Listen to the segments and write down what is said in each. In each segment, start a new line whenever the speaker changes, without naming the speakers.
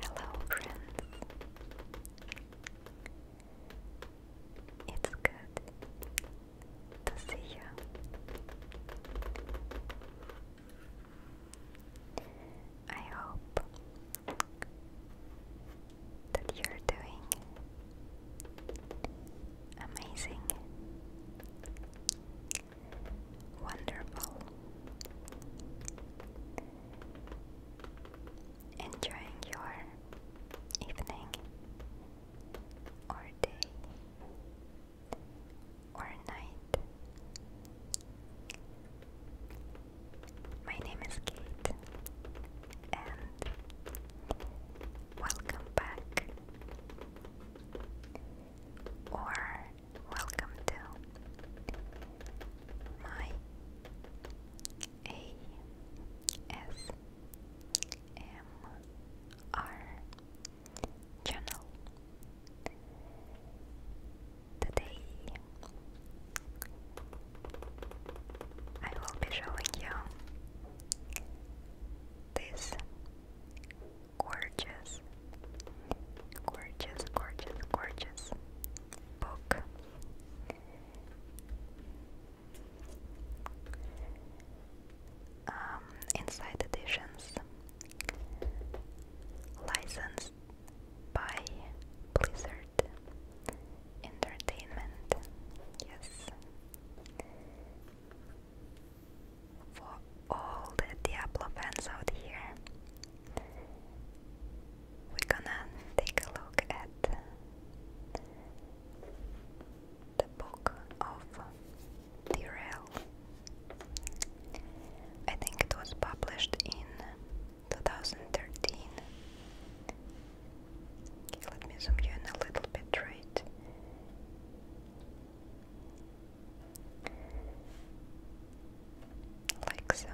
Hello, friends. It's good to see you. I hope that you're doing. Amazing. Wonderful. Enjoying your evening or day or night. My name is Kate, and welcome back, or welcome to my ASMR channel. Today I will be showing you this gorgeous, gorgeous, gorgeous, gorgeous book. Um, inside editions licensed by Blizzard entertainment, yes. For all the Diablo fans out here, we're gonna take a look at the book of Tyrell. I think it was published in 2013. Okay, let me zoom you in a little bit, right? Like so.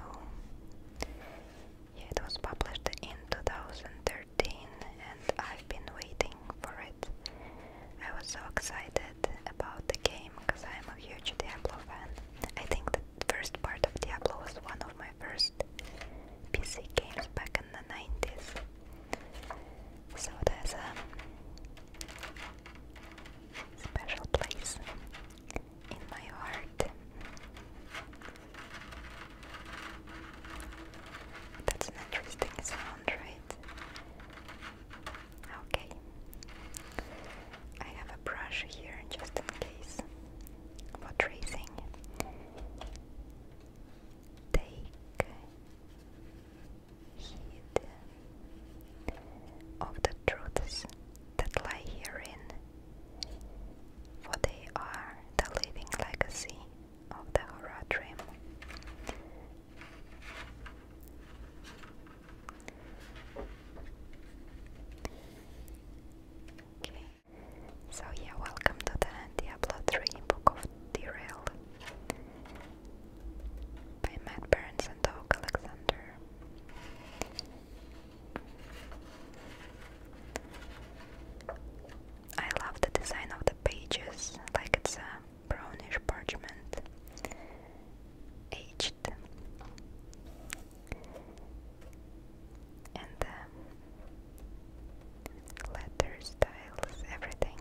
Yeah, it was published in 2013 and I've been waiting for it. I was so excited about the game because I'm a huge Diablo fan. I think the first part of Diablo was one of my first PC games back in the 90s. So there's a special place in my heart. That's an interesting sound, right? Okay. I have a brush here just in case for tracing take heed of the truths that lie herein, for they are the living legacy of the horror dream. So yeah, welcome to the Diablo 3 Book of Derailed by Matt Burns and Doug Alexander. I love the design of the pages, like it's a brownish parchment, aged and the letter styles, everything.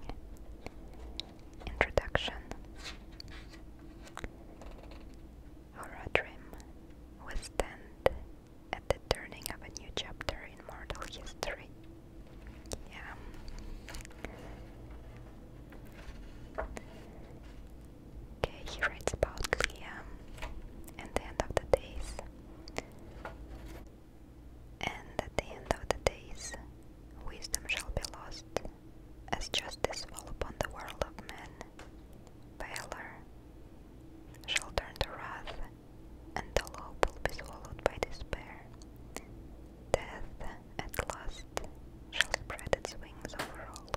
Introduction. Horadrim we stand at the turning of a new chapter in mortal history. Yeah. Okay, he writes about Leah and the end of the days. And at the end of the days, wisdom shall be lost, as justice fall upon the world of men. Valor shall turn to wrath, and the law will be swallowed by despair. Death at last shall spread its wings over all.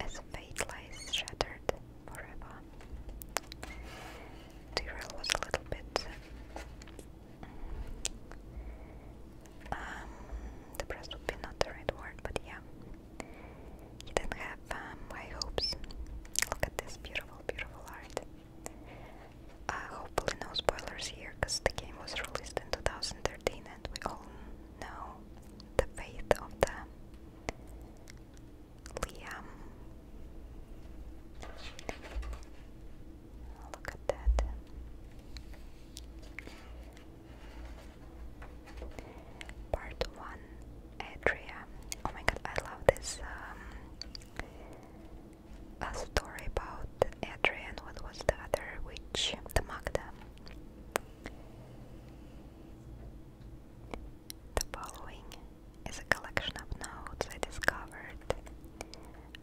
As fate lies shattered forever. Tyrell was a little bit um, depressed would be not the right word, but yeah. He didn't have um, hopes. Look at this beautiful, beautiful art. Uh, hopefully no spoilers here, because the game was released in 2013 and we all know the fate of the Liam. Look at that. Part 1 Adria. Oh my god, I love this um, a story about Adrian. and what was the other witch, the Magda. The following is a collection of notes I discovered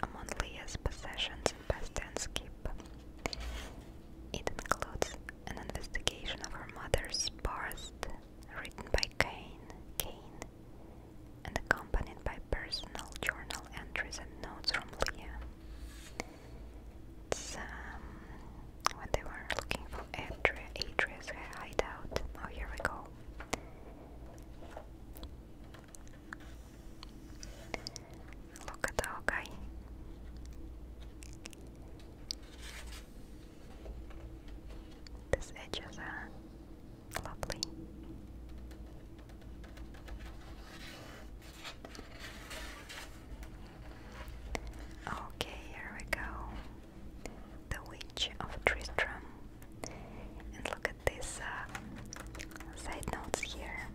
among Leah's possessions in Bastianskip. It includes an investigation of her mother's past, written by Kane, Kane, and accompanied by personal journal entries and notes from Leah. It's, um, looking for Atria, Atria's hideout. Oh, here we go. Look at our guy. These edges are uh, lovely. Okay, here we go. The Witch of Tristram. And look at these uh, side notes here.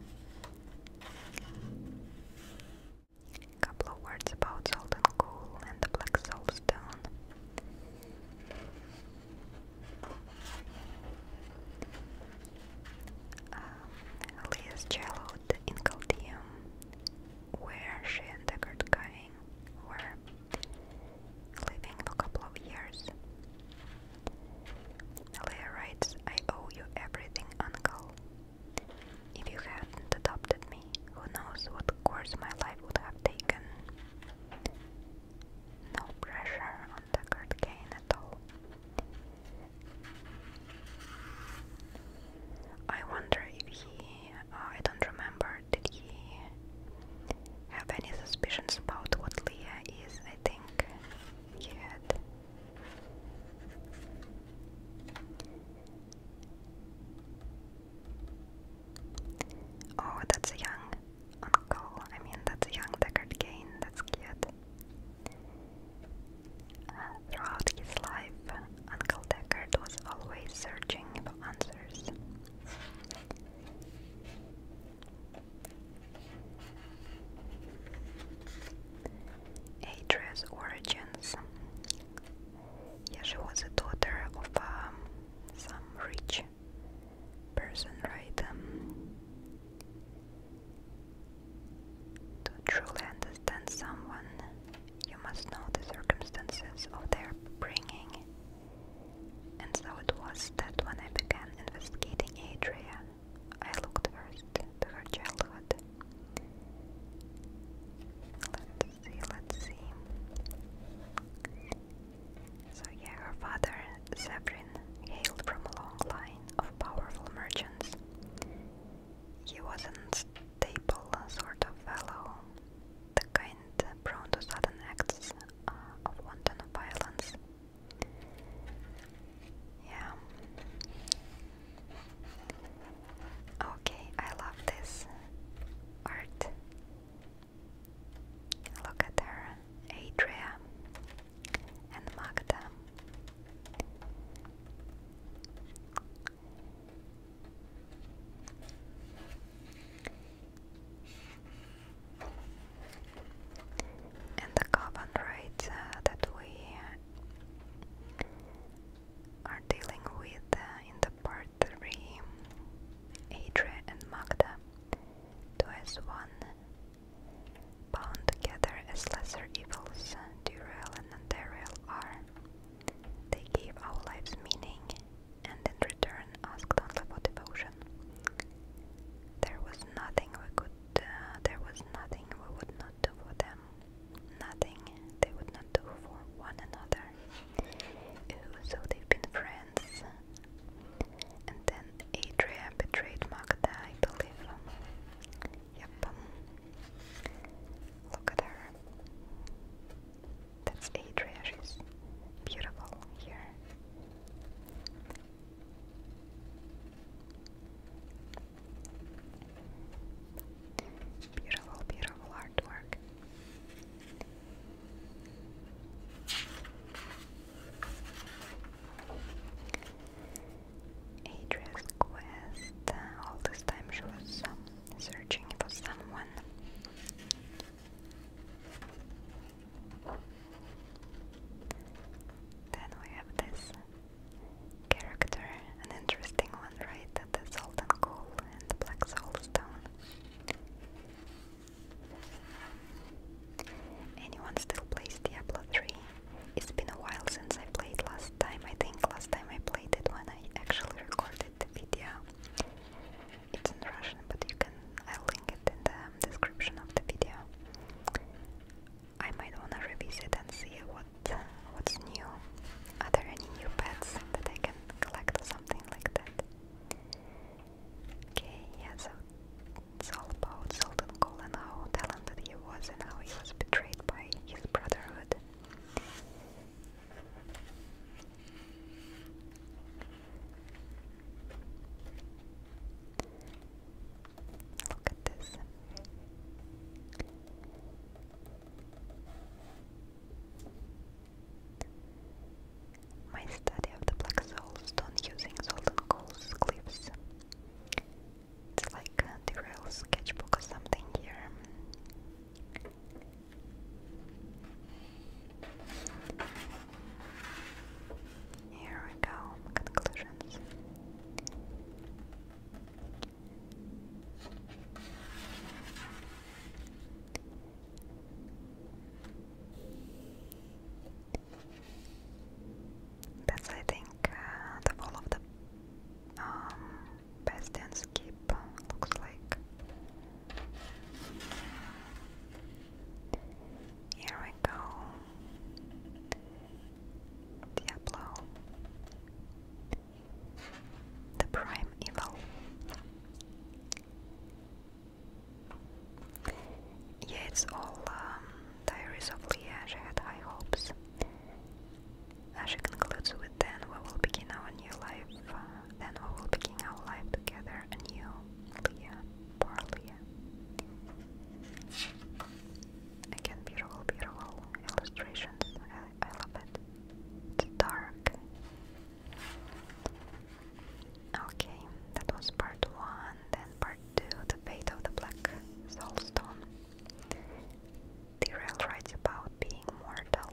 A couple of words about Soldan Ghoul and Black Soul Stone. Um, Elias in Caldeum, where she and Deckard Cawing were living for a couple of years. Leia writes, I owe you everything, Uncle. If you hadn't adopted me, who knows what course my life would have taken. No pressure on Deckard Kane at all. I wonder if he, uh, I don't remember, did he have any suspicions about what Leah is? I think he had. Oh, that's a young uncle. I mean, that's a young Deckard Kane. That's cute throughout his life, Uncle Deckard was always searching for answers. Adria's origins. Yeah, she was a daughter of um, some rich person, right? Um, to truly understand someone, you must know the circumstances of their bringing. And so it was that when I began investigating Adria, I looked first to her childhood. Let's see, let's see. So, yeah, her father, Zebrin, hailed from a long line of powerful merchants. He was an stable sort of fellow, the kind prone to sudden acts uh, of wanton violence. Yeah. Okay, I love this art. Look at her, Adria and Magda. And the carbon rights uh, that we are dealing with uh, in the part 3, Adria and Magda, do as one, bound together as lesser evils, Duriel and Andariel are. They gave our lives meaning and in return asked only for devotion. There was nothing we could, uh, there was nothing we would not do for them, nothing they would not do for one another. so they've been friends. And then Adria betrayed Magda, I believe. Yep. Look at her. That's Adria, she's beautiful here. Beautiful, beautiful artwork. Adria's quest. Uh, all this time she was um, searching for someone. Then we have this character, an interesting one, right? The salt and and the black soul Anyone still plays Diablo 3? It's been a while since I played last time. I think last time I played it when I actually recorded the video. It's in Russian, but you can I'll link it in the um, description of the video. I might wanna revisit and see what what's new. Are there any new pets that I can collect or something like that? Okay, yeah, so it's all about Sultan Gol and how talented he was and how he was betrayed by his brotherhood. Look at this. My study of the black soulstone using salt and coals it's like a uh, derail sketchbook or something here. Here we go, conclusions. That's, I think, uh, the wall of the um, best and skip looks like. Here we go. Diablo. The prime evil. Yeah, it's all um, Diaries of Leah. I had high hopes. She concludes with then we will begin our new life, uh, then we will begin our life together anew, Leah, poor Leah. Again, beautiful, beautiful illustrations, I, love it. It's dark. Okay, that was part one, then part two, the fate of the black soul stone. Tyrell writes about being mortal.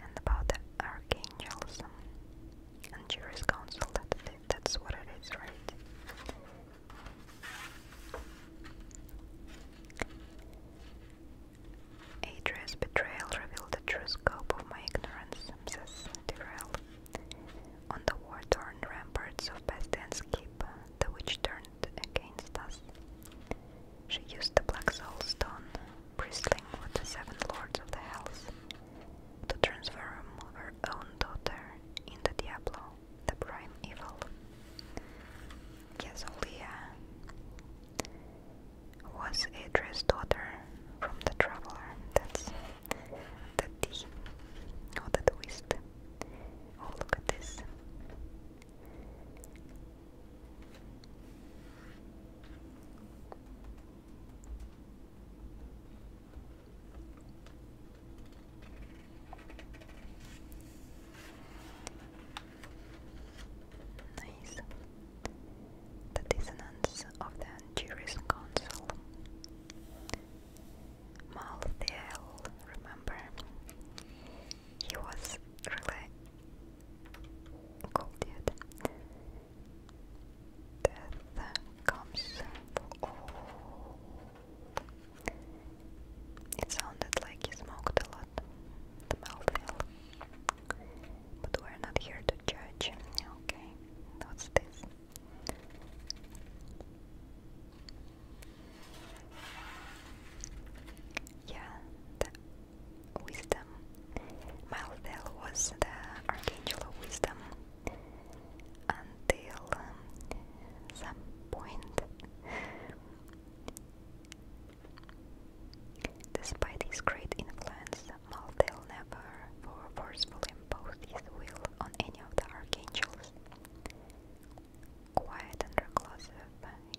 And about the archangels and jury's council, that, that's what it is, right? Adria's betrayal revealed the true scope of my ignorance. Ransoms Tyrell. On the war-torn ramparts of Bastion's the witch turned against us. She used the Black Soul Stone, bristling with the Seven Lords of the Hells, to transform her own daughter into Diablo, the prime evil. Yes, was Idris' daughter from The Traveler. That's the D or the twist. Oh, look at this the dissonance of the Angiris Council. Malthiel, remember, he was really cool dude. Death comes It sounded like he smoked a lot, the but we're not here to judge. Okay, what's this? Yeah, wisdom. Mildale was the archangel of wisdom until um, some point. Despite his great influence, Maltel never for forcefully imposed his will on any of the archangels. Quiet and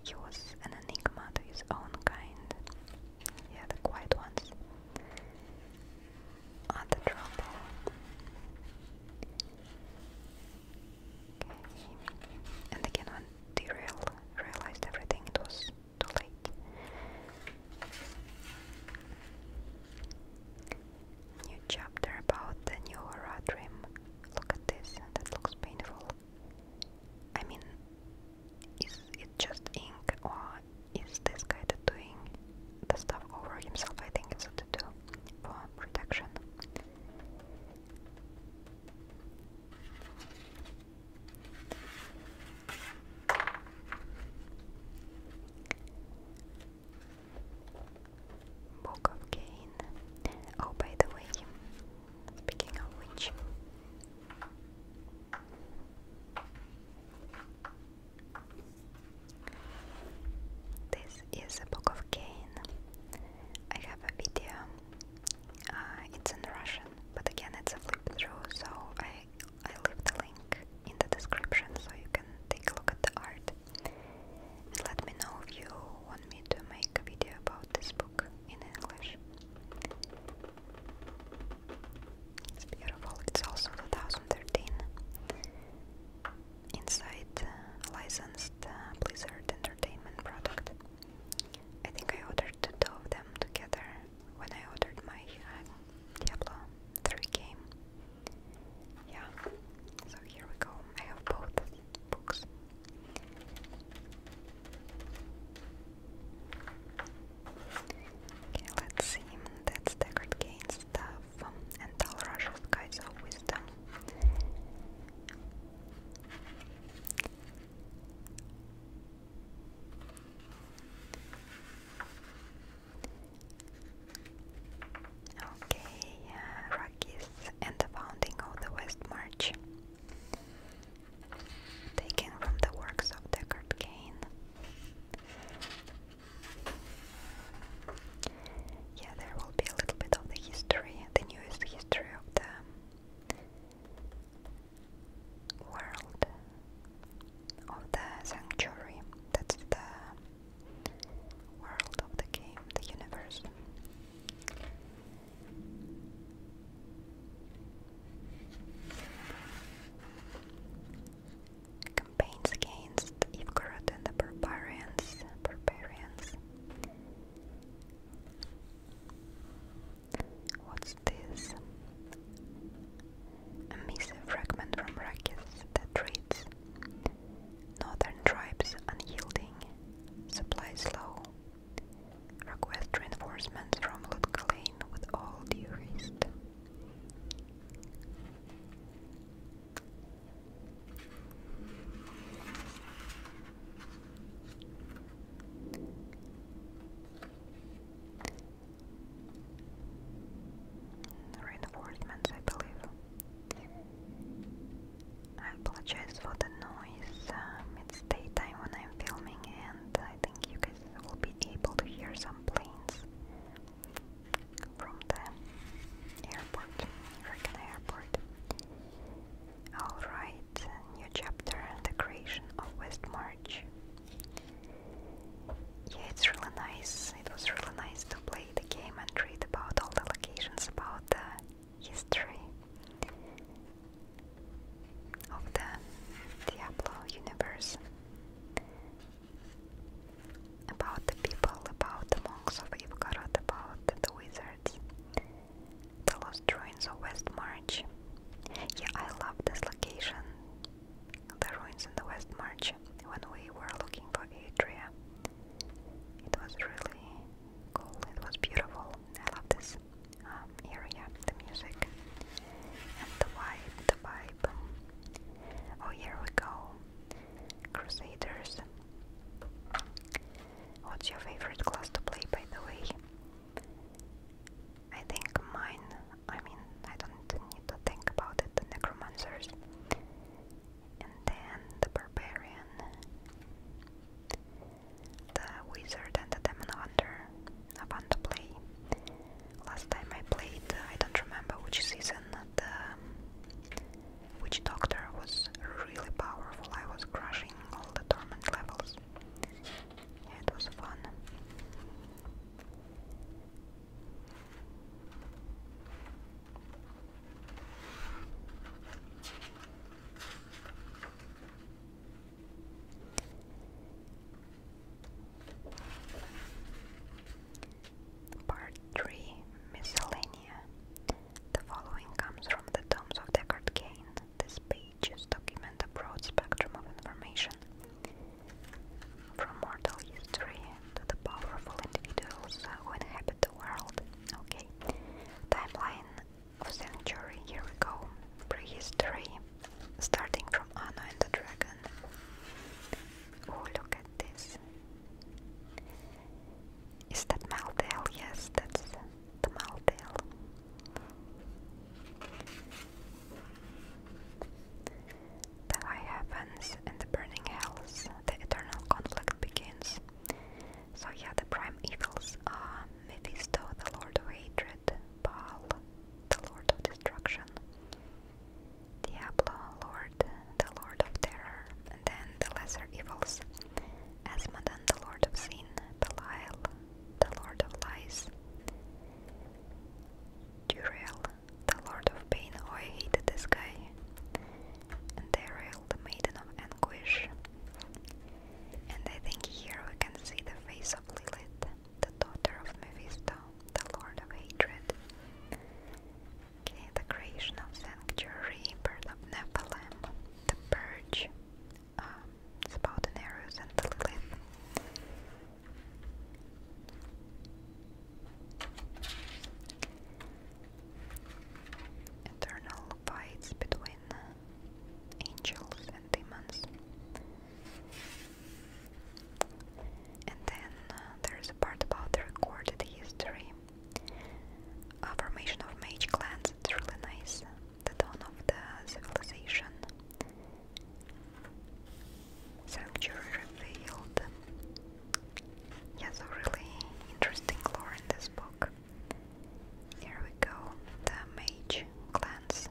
he was an enigma to his own kind. Yeah, the quiet ones. Other trouble. And again, when Derail realized everything, it New chapter about the new aura dream. Look at this, that looks painful. I mean, is it just ink or is this guy doing the stuff over himself? I think it's a tattoo for protection. Book of Cain. Oh, by the way, speaking of which, this is a Book of Cain. I have a video. Uh, it's in Russian, but again, it's a flip through, so I I leave the link in the description so you can take a look at the art. let me know if you want me to make a video about this book in English. It's beautiful. It's also 2013. Inside uh, licensed uh, Blizzard Entertainment product. I think I ordered to two of them together when I ordered my uh, Diablo 3 game. Yeah, so here we go. I have both books. Okay, let's see. That's Deckard Cain's stuff um, and Tal Rush's Guides of Wisdom. Okay, uh, Rockies and the founding of the West March. Taken from the works of Deckard Cain. Yeah, there will be a little bit of the history, the newest history of the world of the sanctuary. That's the world of the game, the universe. Campaigns against Ivgorod and the barbarians. Barbarians. What's this? A fragment from Rakis that reads Northern tribes unyielding, supplies low. Request reinforcements from Lutkalane with all due haste. Reinforcements, I believe. I apologize for the noise. Um, it's daytime when I'm filming, and I think you guys will be able to hear some planes from the airport, Reagan Airport. Alright, new chapter The Creation of West March. Yeah, it's really nice. It was really nice to play the game and read about all the locations, about the history of the Diablo universe, about the people, about the monks of Ivgorod, about the wizards, the lost droid ruins of West March. Yeah, I love this location, the ruins in the West March. When we were looking for Adria, it was really cool. It was beautiful. I love this um, area, the music and the vibe. The vibe. Oh, here we go. Crusaders. What's your favorite class to play, by the way? I think mine, I mean, I don't need to think about it, the necromancers. And then the barbarian, the wizard and the demon hunter, a fun to play. Last time I played, I don't remember which season, the witch doctor was really powerful, I was crushing all the torment levels it was fun. Part 3 Miscellanea. The following comes from the tombs of Deckard Cain, the spade ages document a broad spectrum of information, from mortal history to the powerful individuals who inhabit the world. Okay, timeline of century, here we go. Prehistory, starting from Anna and the Dragon. Oh, look at this. Is that Maltale? Yes, that's the Maltale. The high heavens and the burning hells, the eternal conflict begins. So yeah, the prime evils are Mephisto, the lord of hatred, Baal, the lord of destruction, Diablo, lord, the lord of terror, then the lesser evils, Asmodan, the lord of sin, Belial, the lord of lies, Jurel, the lord of pain, oh, I hate this guy. And the maiden of anguish. And I think here we can see the face of Lilith, the daughter of Mephisto, the lord of hatred. Okay, the creation of Sanctuary, birth of Nephilim, the purge, about um, the arrows and the Lilith. Eternal fights between angels and demons. And then uh, there's a part about the recorded history. formation of mage clans, it's really nice the dawn of the civilization. Sanctuary revealed. Yes, a really interesting lore in this book. Here we go, the mage clans.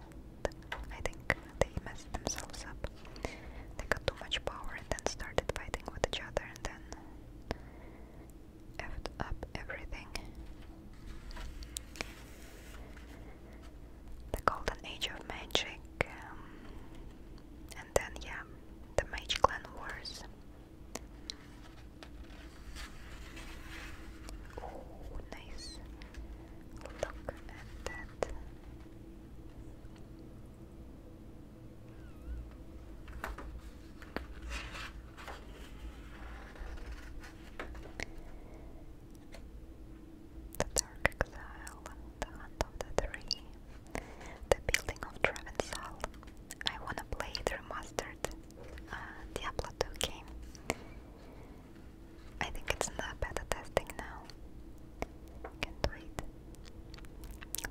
I think they messed themselves up. They got too much power and then started fighting with each other and then effed up everything the golden age of magic, um, and then, yeah, the Mage Clan Wars. Oh, nice. Look at that. The Dark Exile, The Hunt of the Three, The Building of Travensil. I wanna play the remastered uh, Diablo 2 game. I think it's in the beta testing now. Can't wait.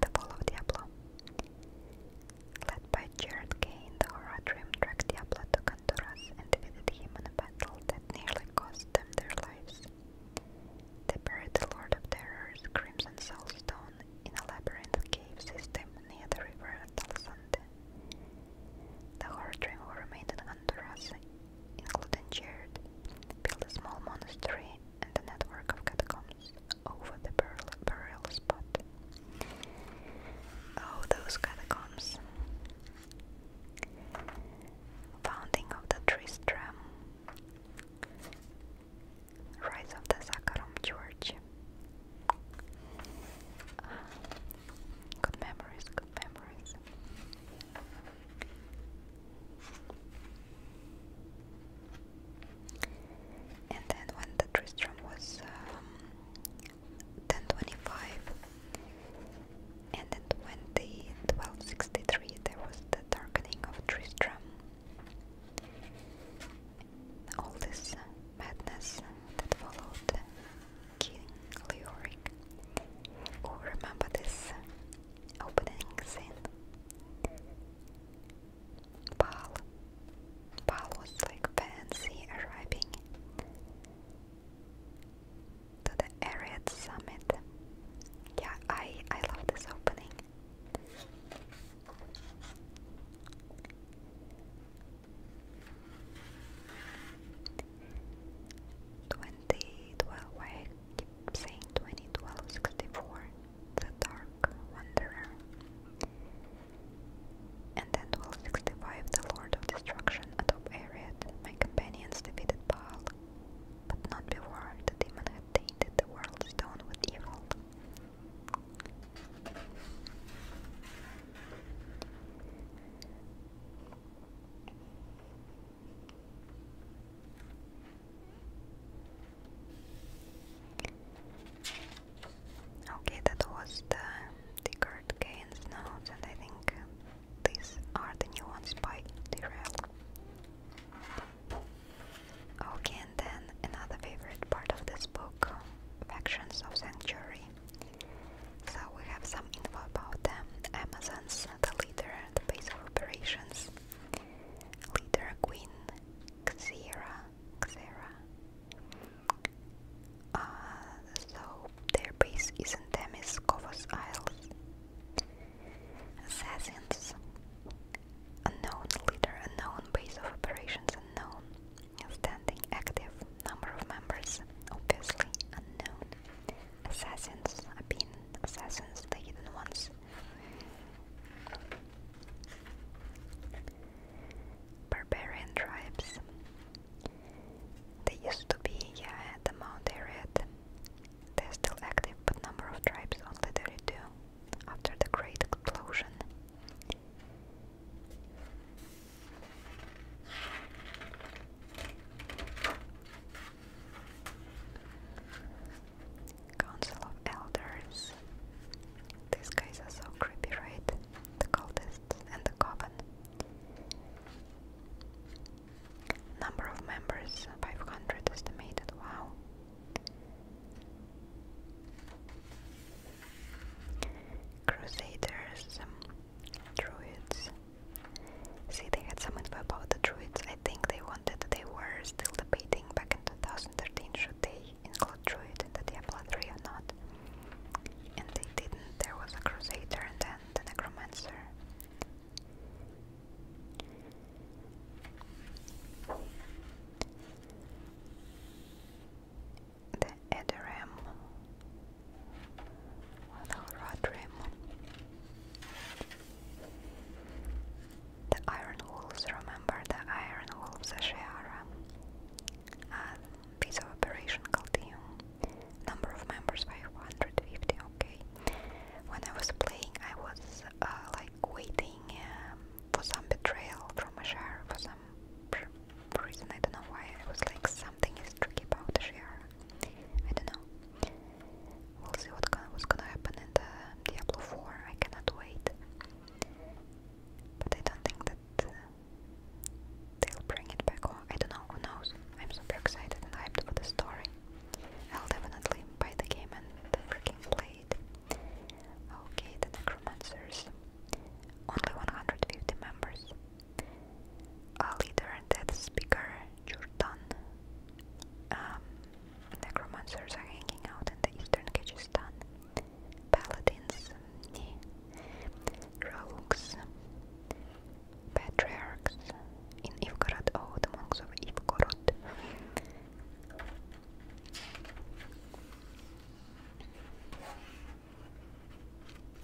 The Fall of Diablo. Led by Jared Kane, the horror dream track Diablo 2 and defeated him in a battle that nearly cost them their lives. They buried the Lord of Terror's Crimson Soul Stone in a labyrinth cave system near the river Talsante. The Horde who remained in Honduras, including Jared, built a small monastery and a network of catacombs over the burial, burial spot. Oh, those catacombs! Founding of the Tristram, Rise of the Zakharum Church. good memories, good memories. And then when the Tristram was um, then and then 20 there was the darkening of Tristram all this madness that followed King Leoric who oh, remember this opening scene Baal Baal was like fancy arriving to the Ariad Summit. Yeah, I, I love this opening. Twenty twelve I keep saying twenty twelve sixty four, the dark wanderer. And then 1265 the Lord of Destruction atop Ariad, my companions defeated Pal, but not before the demon had tainted the world stone with evil. Okay, that was the the card gains nodes, and I think um, these are the new ones by Tyrell. Okay, and then another favorite part of this book, Factions of Sanctuary. So we have some info about them. Amazons, the leader, the base of operations. Leader Queen Xera, Xera, uh, so their base is in Temiscovos Isles. Assassins. Unknown leader, unknown base of operations, unknown. Standing active, number of members, obviously unknown. Assassins, have been assassins, the hidden ones. Barbarian tribes. They used to be yeah, the Mount Area. They're still active, but number of tribes only 32 after the Great Explosion. Council of Elders. These guys are so creepy, right? The cultists and the coven. Number of members 500 estimated. Wow. Crusaders, um, Druids. See, they had some info about the Druids. I think they wanted, they were still debating back in 2013 should they include Druid in the Diablo 3 or not. And they didn't. There was a crusader and then the necromancer. The Edoram. The Rodrim. The Iron Wolves, remember the Iron Wolves of Visa operation Caldeum. Number of members 550, okay. When I was playing, I was uh, like waiting um, for some betrayal from a share for some reason. I don't know why. I was like, something is tricky about the share. I don't know. We'll see what going gonna happen in the Diablo 4. I cannot wait. But I don't think that. Uh, They'll bring it back home. I don't know, who knows? I'm super excited and hyped for the story. I'll definitely buy the game and freaking play it. Okay, the Necromancers. Only 150 members. A leader and death speaker, Jordan. Um, necromancers are hanging out in the eastern Kyrgyzstan. Paladins, um, Rauks, patriarchs in Ivgorod, oh, the monks of Ivgorod.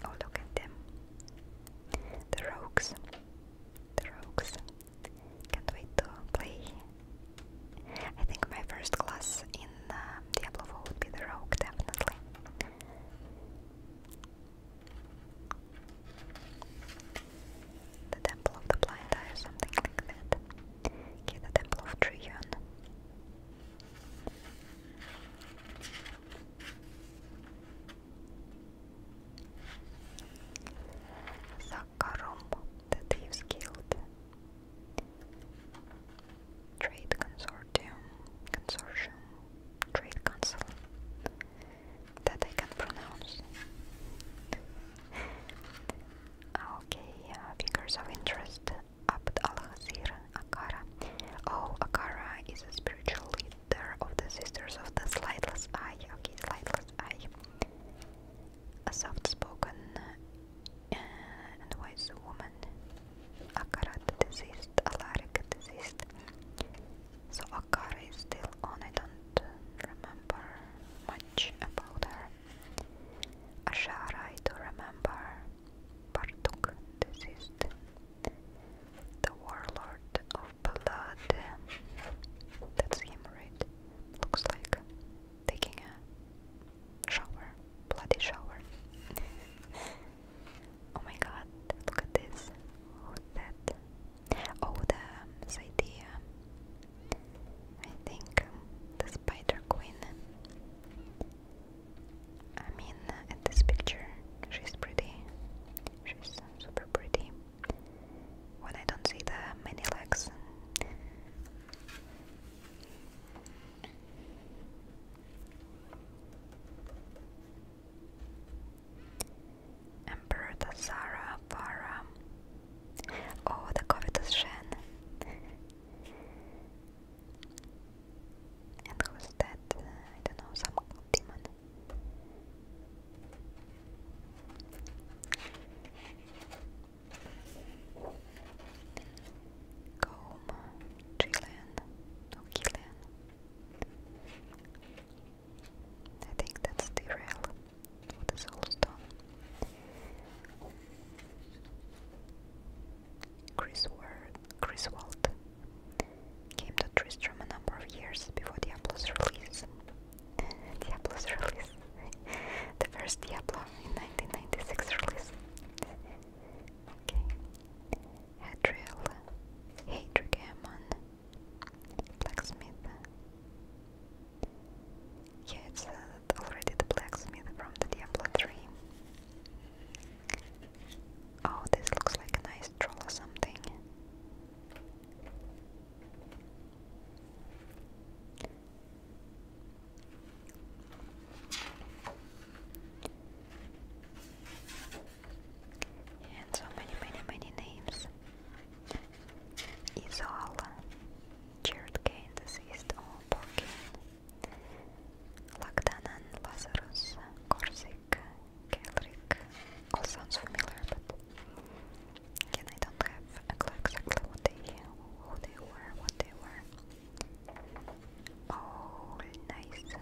Oh, look at them. The rogues. The rogues. Can't wait to play. I think my first class in uh, Diablo would be the rogue, definitely. The Temple of the Blind Eye or something like that. Okay, the Temple of Triyun. Zakkarum, the Thieves Guild. Trade Consortium, Consortium, Trade Council, that I can pronounce. Ah, okay, figures of interest, Abd al Akara. Oh, Akara is a spiritual leader of the Sisters of the Slightless Eye. Okay, Slightless Eye. A soft-spoken uh, wise woman Akara deceased, Alaric deceased. So Akara is still on. I don't remember much about her. Ashara, I do remember. Bartuk deceased. The warlord of blood. That's him, right? Looks like taking a shower, bloody shower. Oh my god, look at this. Oh, that. Oh, the, um, idea. I think um, the Spider Queen. I mean, at this picture, she's pretty. She's super pretty. When I don't see the many legs. Emperor Tassara Farah. Oh, the covetous Shen. And who's that? I don't know, some demon. Gome, Chilean, no I think that's the rail for the soul stone. Griswold, Griswold came to Tristram a number of years before Diablo's release. Diablo's release. the first Diablo in 1996 release. Okay. Hadriel, Hadrigamon, Blacksmith. Yeah, it's uh, already the blacksmith from the Diablo 3. Oh, this looks like a nice troll or something. And so many, many, many names. Isola, Jared Kane, deceased or Porkin, Lagdanan, Lazarus, Corsic, Kelric. All sounds familiar, but again, I do have a clue exactly what they, who they were, what they were. Oh, nice.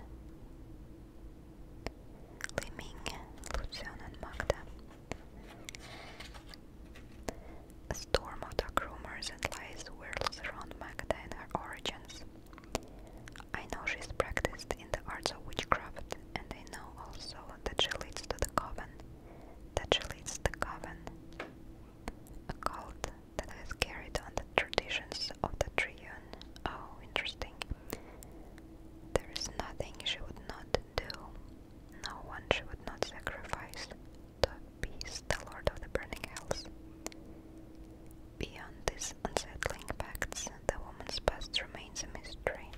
Liming, Lucian and Magda. A storm of dark rumors and lies swirls around Magda and her origins. I know she's practiced in the arts of witchcraft, and I know also that she leads to the coven. That she leads the coven. A that has carried on the traditions of the Triune. Oh, interesting. There is nothing she would not do, no one she would not sacrifice to appease the Lord of the Burning Hills. Beyond these unsettling facts, the woman's past remains a mystery.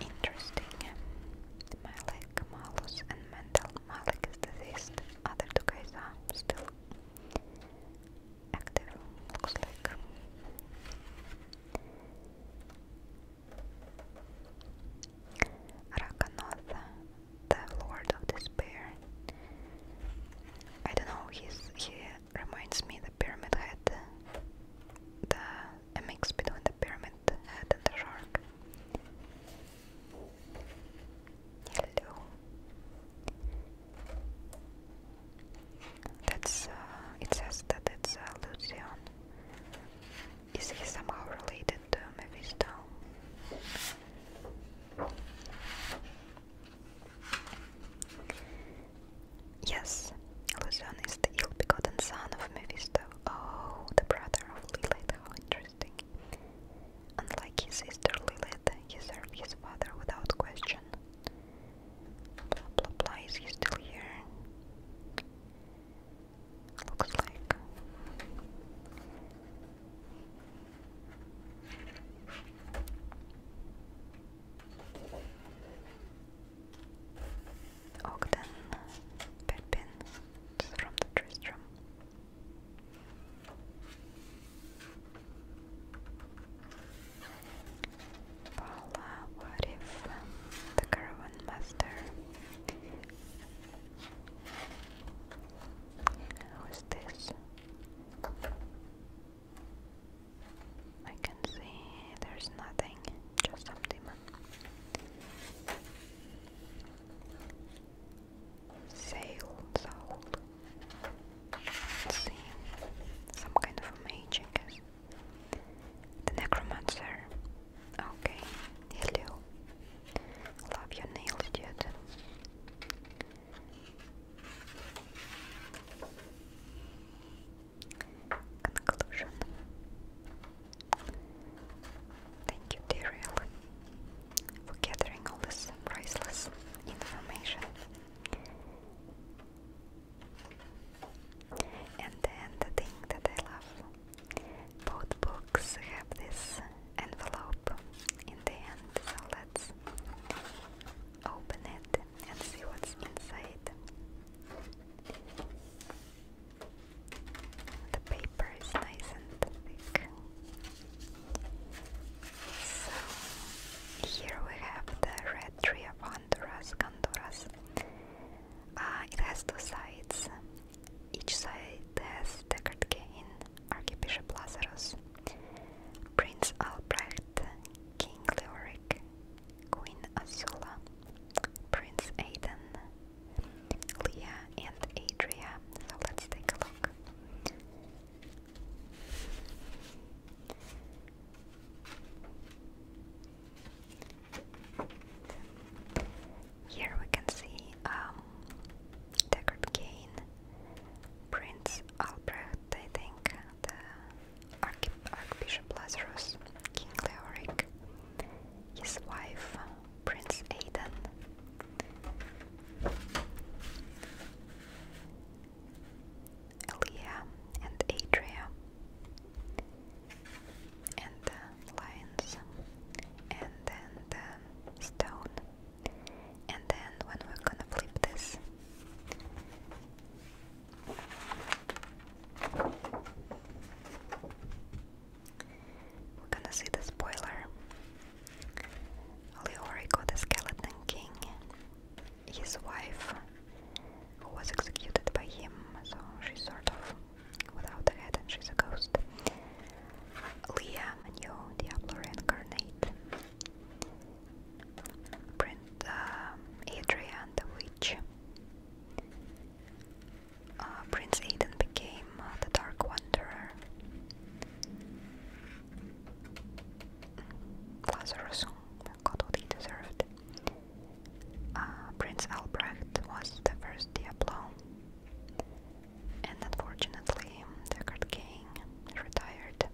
Interesting. Malik, Malus, and Mendel. Malik is other two guys are still active, looks like. Rakanoth, the Lord of Despair. I don't know, he's, he reminds me the pyramid head. The, a mix between the pyramid head and the shark. Hello. That's. Uh, it says that it's uh, Is he somehow related to Mephisto? Yes, Lucian is the ill-begotten son of Mephisto. Oh, the brother of Lilith. How interesting. Unlike his sister Lilith, he served his father without question. Blah is he still here? Looks like. Ogden, Pepin, from the Tristram. Paula, um, the caravan master who is this? I can see there's nothing, just some demon sail, soul. some kind of a mage, guess. The necromancer. Okay, hello. Love your nails, dude. Conclusion. Thank you, Daryl for gathering all this priceless information. And then the thing that I love, both books have this envelope in the end, so let's open it and see what's inside. The paper is nice and thick. So here we have the red tree of Honduras, Honduras. Uh, it has two sides. Each side has Deckard Cain, Archbishop Lazarus, Prince Albrecht, King Leoric, Queen Azula, Prince Aiden, Leah and Adrian. So let's take a look. Here we can see um, Deckard Kane, Prince Albrecht, I think, the Archbishop Lazarus, King Leoric, his wife, Prince Aidan, Elia and Adria and the lions and then the stone and then when we're gonna flip this we're gonna see the spoiler. Leorico the Skeleton King, his wife, who was executed by him, so she's sort of without a head and she's a ghost. Leah, new Diablo reincarnate. Print uh, Adrian the Witch. Uh, Prince Aiden became uh, the Dark Wanderer. Lazarus, oh God what he deserved. Uh, Prince Albrecht was the first Diablo, and unfortunately, the Card King retired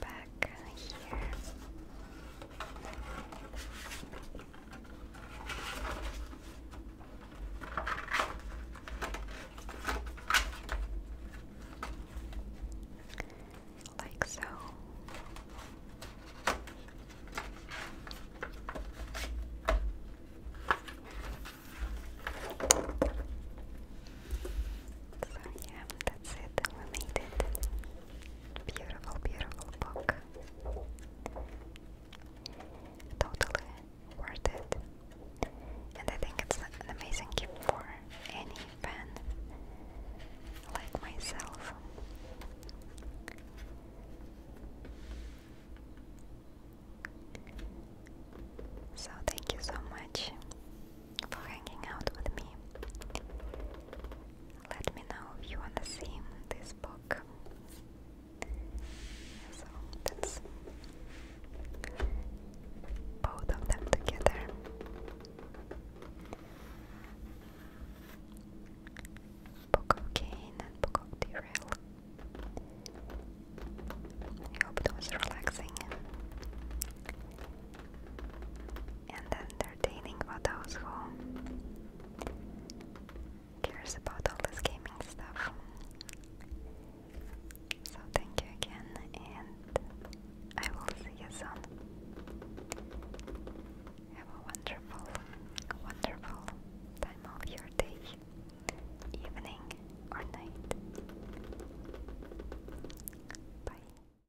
back here. Like so. So, yeah, that's it. We made it. Beautiful, beautiful book. Totally worth it. And I think it's an amazing gift for any fan like myself. So, thank you so much for hanging out with me. Let me know if you wanna see this book. So that's both of them together. Book of Cain Book of Derail. I hope it was relaxing. And then entertaining for those who cares about all this gaming stuff. So thank you again and I will see you soon. Have a wonderful, wonderful time of your day, evening or night. Bye.